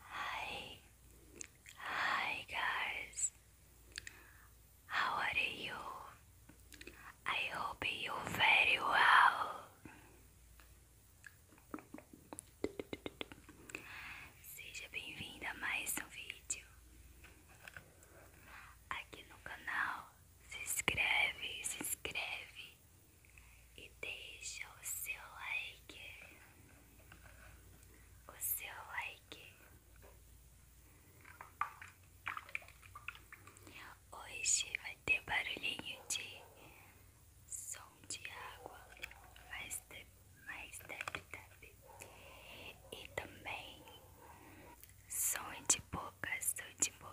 Hi, hi guys. How are you? I hope you very well. Seja bem-vinda a mais um vídeo aqui no canal. Se inscreve, se inscreve e deixa o seu like. O seu like. Hoje vai ter barulhinho de som de água mais, de, mais tap tap e também som de boca, som de boca.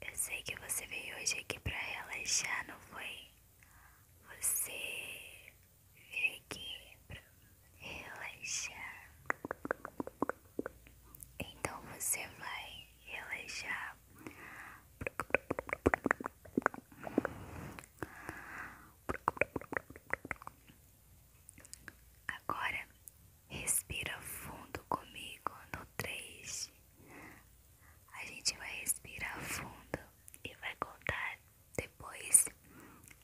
Eu sei que você veio hoje aqui pra relaxar, não foi? Você veio aqui pra relaxar. Então você vai relaxar. Agora Respira fundo comigo no 3. A gente vai respirar fundo e vai contar depois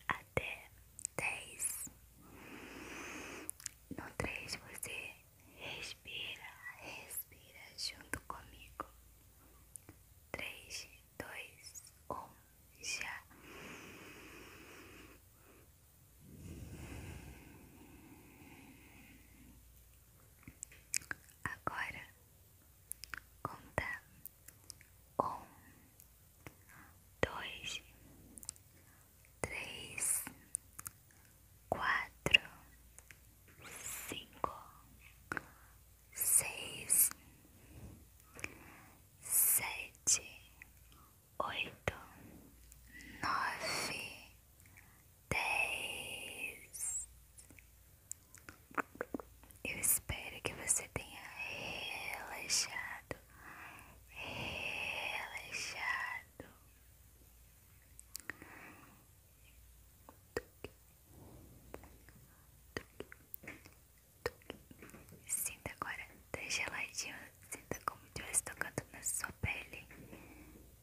até 10. No 3 você respira, respira junto comigo. 3, 2, 1, já. Agora conta um, dois, três, quatro, cinco, seis, sete, oito, nove. 10. Eu espero que você tenha relaxado, relaxado. Sinta agora, tá geladinho, sinta como estivesse tocando na sua pele.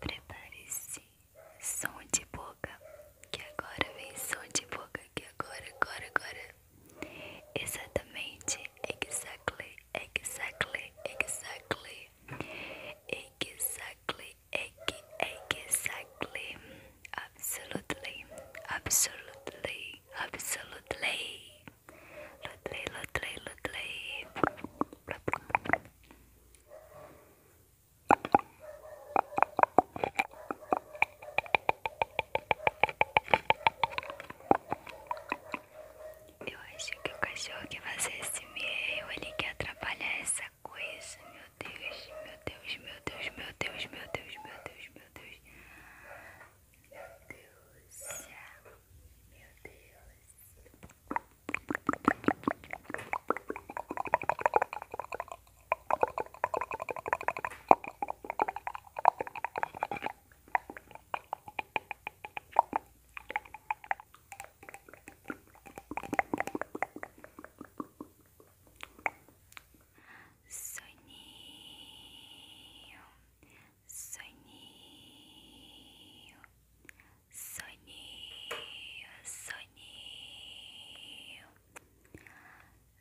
Prepare-se, som de boca, que agora vem som de boca, que agora, agora, agora. Exatamente, exactly, exactly, exactly, exactly. É que é que exactly, absolutely, absolutely, absolutely. Lutely, lutely, lutely. Eu acho que o cachorro que fazer esse meio ele quer atrapalhar essa coisa, meu Deus, meu Deus, meu Deus, meu Deus, meu Deus, meu Deus, meu Deus, meu Deus, soninho, soninho, soninho, soninho,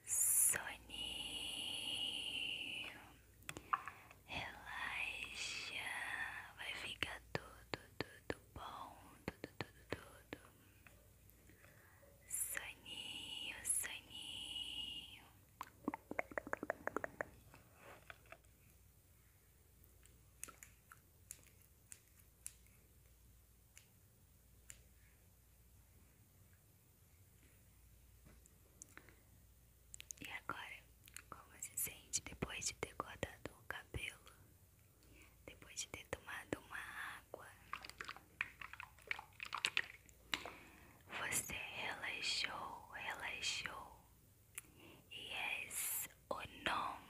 soninho, relaxa, vai ficar tudo, tudo bom, tudo, tudo, tudo. Soninho, soninho. E agora, como se sente depois de ter cortado o cabelo? depois de ter tomado uma água, você relaxou, relaxou e és o nome.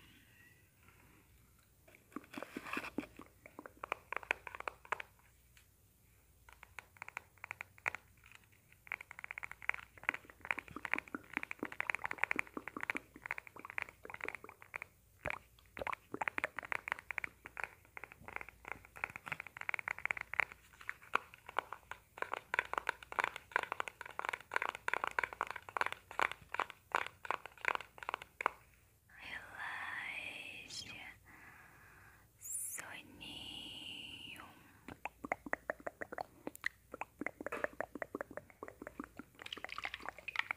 Relaxa, soninho. Relaxa,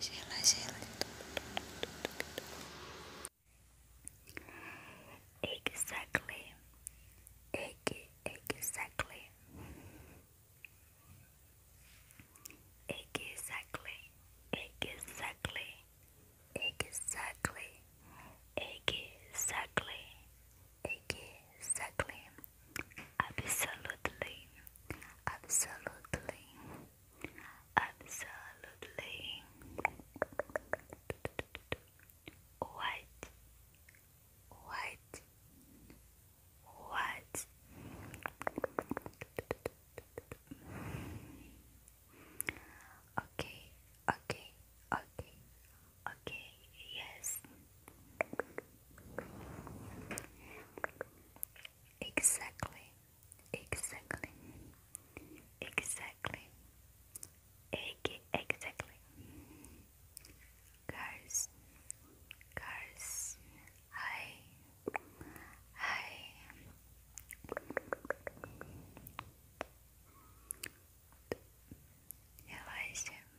Sheila, Sheila. Exactly. Exactly. Exactly. Exactly. Exactly. Exactly. Exactly. Absolutely, absolutely, absolutely. What? What? What? Okay, okay, okay, okay, yes. Exactly, exactly, exactly, exactly. Guys, guys, hi, hi. Relaxa.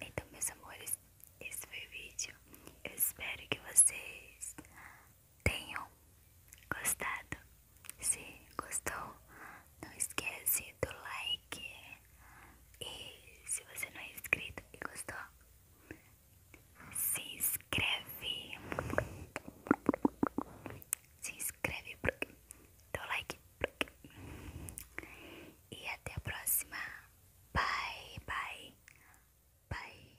Então, meus amores, esse foi o vídeo. Eu espero que vocês tenham gostado. Se gostou, não esquece do like. E se você não é inscrito e gostou, se inscreve. Se inscreve porque dou like. Porque. E até a próxima. Bye, bye, bye.